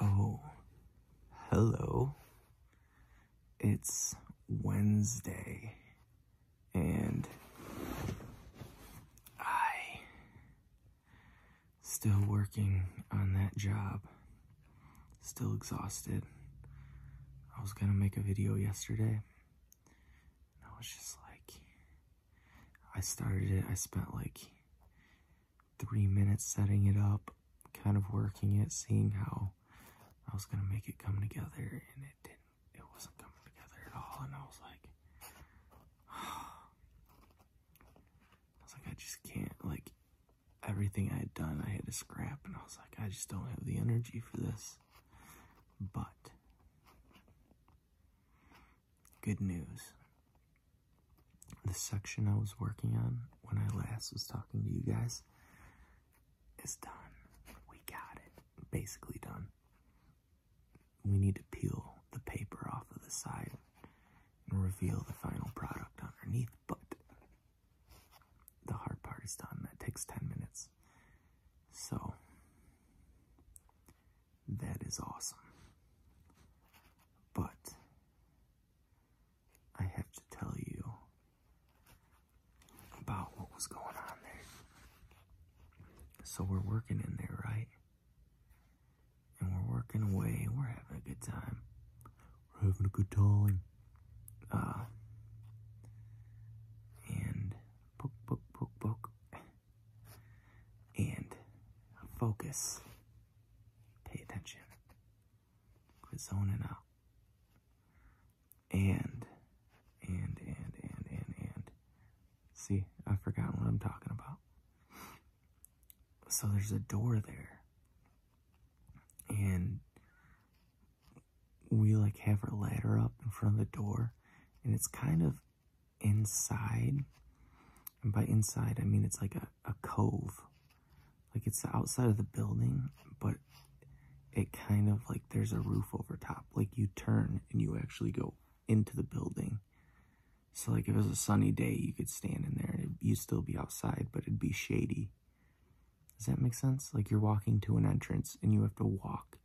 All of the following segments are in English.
Oh, hello. It's Wednesday, and I still working on that job. Still exhausted. I was gonna make a video yesterday, I was just like, I started it, I spent like three minutes setting it up, kind of working it, seeing how I was gonna make it come together, and it didn't, it wasn't coming together at all, and I was like, I was like, I just can't, like, everything I had done, I had to scrap, and I was like, I just don't have the energy for this, but Good news. The section I was working on when I last was talking to you guys is done. We got it. Basically done. We need to peel the paper off of the side and reveal the final product underneath, but the hard part is done. That takes 10 minutes. So, that is awesome. But I have to tell you about what was going on there. So we're working in there, right? And we're working away. We're having a good time. We're having a good time. Uh, and poke, poke, poke, poke and focus. Pay attention. Quit zoning out. And, and, and, and, and, and. See, I've forgotten what I'm talking about. So there's a door there. And we like have our ladder up in front of the door. And it's kind of inside. And by inside, I mean it's like a, a cove. Like it's the outside of the building, but it kind of like there's a roof over top. Like you turn and you actually go into the building. So like if it was a sunny day, you could stand in there and you'd still be outside, but it'd be shady. Does that make sense? Like you're walking to an entrance and you have to walk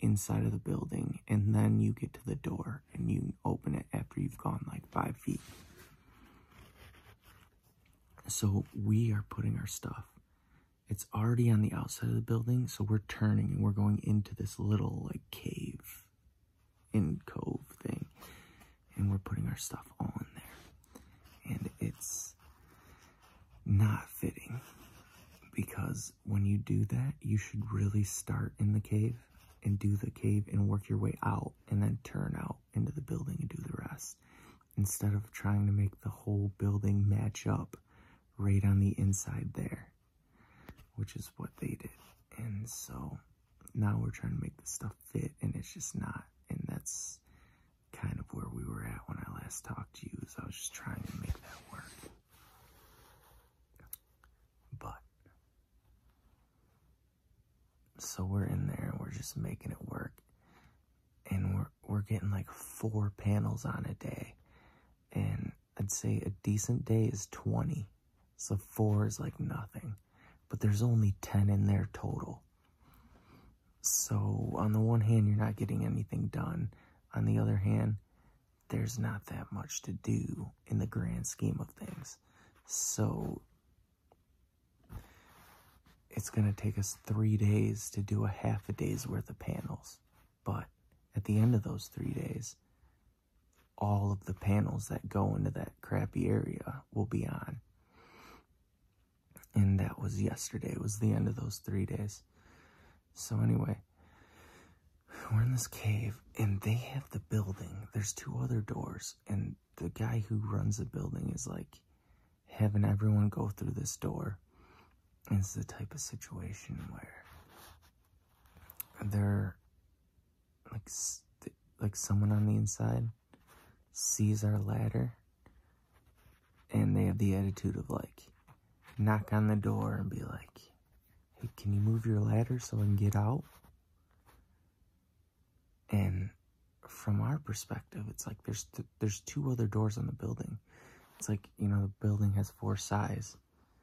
inside of the building, and then you get to the door and you open it after you've gone like five feet. So we are putting our stuff. It's already on the outside of the building, so we're turning and we're going into this little like cave in cove thing. And we're putting our stuff all in there. And it's not fitting because when you do that, you should really start in the cave and do the cave and work your way out and then turn out into the building and do the rest instead of trying to make the whole building match up right on the inside there, which is what they did. And so now we're trying to make the stuff fit and it's just not. And that's kind of where we were at when I last talked to you is I was just trying to make that work. But so we're in there, we're just making it work. And we're we're getting like four panels on a day. And I'd say a decent day is 20. So four is like nothing. But there's only 10 in there total. So on the one hand, you're not getting anything done. On the other hand, there's not that much to do in the grand scheme of things. So it's going to take us three days to do a half a day's worth of panels. But at the end of those three days, all of the panels that go into that crappy area will be on. And that was yesterday, it was the end of those three days. So anyway, we're in this cave and they have the building. There's two other doors and the guy who runs the building is like having everyone go through this door. it's the type of situation where they're like like someone on the inside sees our ladder and they have the attitude of like knock on the door and be like hey, can you move your ladder so I can get out? And from our perspective, it's like there's there's two other doors on the building. It's like, you know, the building has four sides.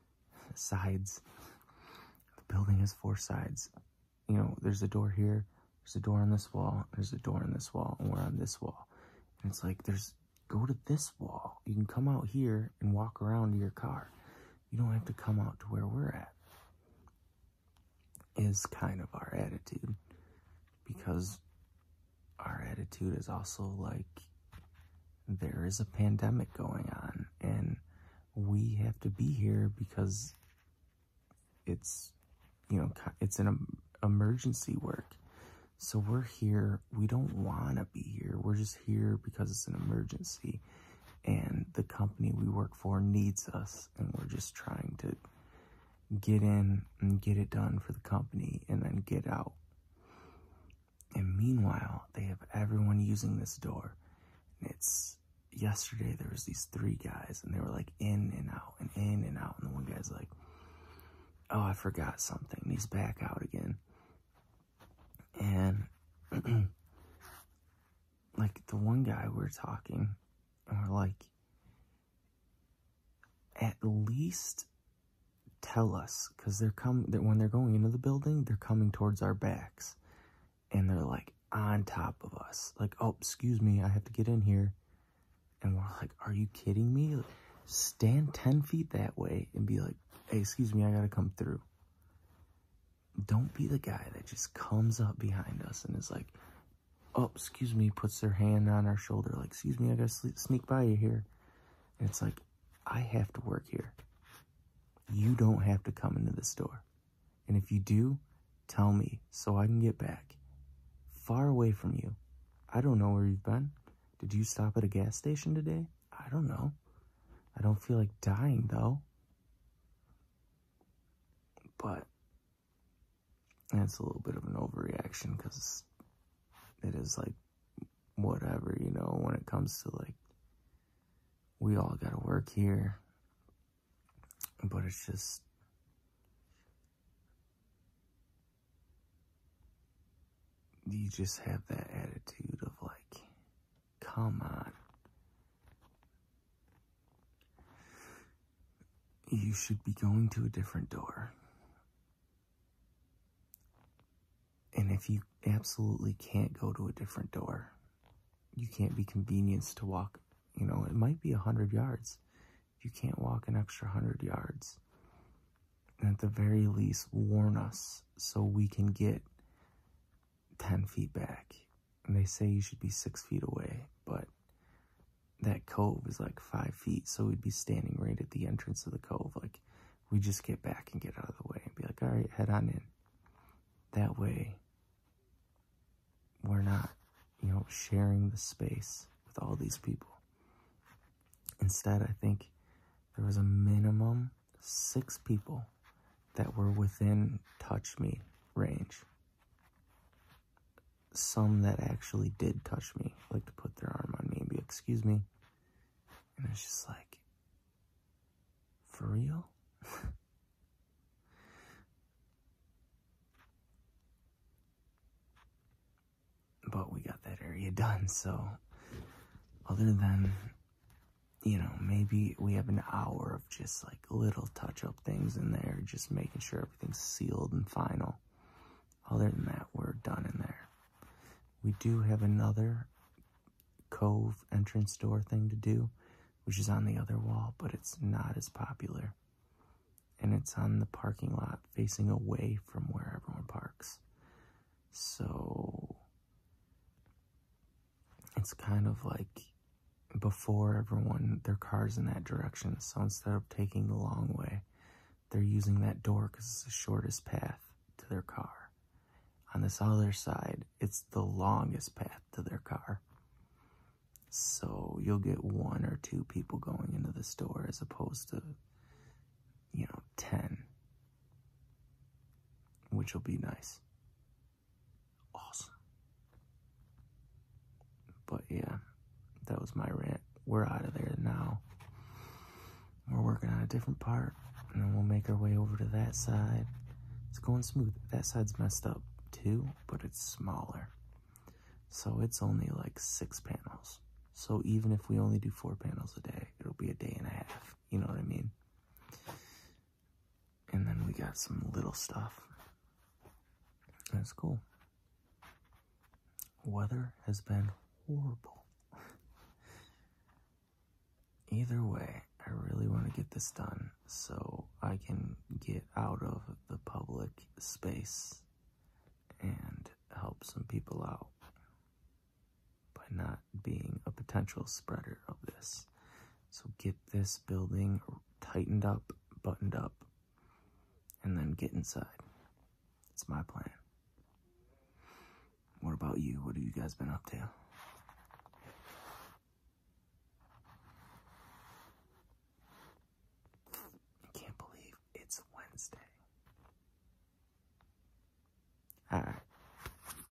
Sides. The building has four sides. You know, there's a door here, there's a door on this wall, there's a door on this wall, and we're on this wall. And it's like, there's, go to this wall. You can come out here and walk around to your car. You don't have to come out to where we're at, is kind of our attitude. Because our attitude is also like there is a pandemic going on, and we have to be here because it's, you know, it's an emergency work. So we're here. We don't want to be here. We're just here because it's an emergency and the company we work for needs us and we're just trying to get in and get it done for the company and then get out. And meanwhile, they have everyone using this door. And it's yesterday there was these three guys and they were like in and out and in and out and the one guy's like, "Oh, I forgot something." And he's back out again. And like the one guy we are talking, and we're like, at least tell us because they're coming that when they're going into the building they're coming towards our backs and they're like on top of us like oh excuse me i have to get in here and we're like are you kidding me stand 10 feet that way and be like hey excuse me i gotta come through don't be the guy that just comes up behind us and is like, oh, excuse me, puts their hand on our shoulder, like, excuse me, I gotta sneak by you here. And it's like, I have to work here. You don't have to come into the store. And if you do, tell me so I can get back. Far away from you. I don't know where you've been. Did you stop at a gas station today? I don't know. I don't feel like dying though. But that's a little bit of an overreaction because it is like whatever, you know, when it comes to like, we all gotta work here. But it's just, you just have that attitude of like, Come on. You should be going to a different door. And if you absolutely can't go to a different door, you can't be convenienced to walk, you know, it might be a 100 yards. you can't walk an extra 100 yards, and at the very least, warn us so we can get 10 feet back. And they say you should be 6 feet away, but that cove is like 5 feet, so we'd be standing right at the entrance of the cove. Like, we just get back and get out of the way and be like, alright, head on in. That way, we're not, you know, sharing the space with all these people. Instead, I think there was a minimum six people that were within touch me range. Some that actually did touch me, like to put their arm on me be, excuse me. And it's just like, for real? but we got that area done, so other than you know, maybe we have an hour of just like little touch up things in there, just making sure everything's sealed and final. Other than that, we're done in there. We do have another cove entrance door thing to do, which is on the other wall, but it's not as popular. And it's on the parking lot facing away from where everyone parks. So it's kind of like before everyone their cars in that direction so instead of taking the long way they're using that door because it's the shortest path to their car on this other side it's the longest path to their car so you'll get one or two people going into the store as opposed to you know 10 which will be nice. Awesome. But yeah, that was my rant. We're out of there now. We're working on a different part, and then we'll make our way over to that side. It's going smooth. That side's messed up too, but it's smaller. So it's only like six panels. So even if we only do four panels a day, it'll be a day and a half. You know what I mean? And then we got some little stuff. That's cool. Weather has been horrible. Either way, I really want to get this done so I can get out of the public space and help some people out by not being a potential spreader of this. So get this building tightened up, buttoned up, and then get inside. It's my plan. What about you? What have you guys been up to? Wednesday. All right.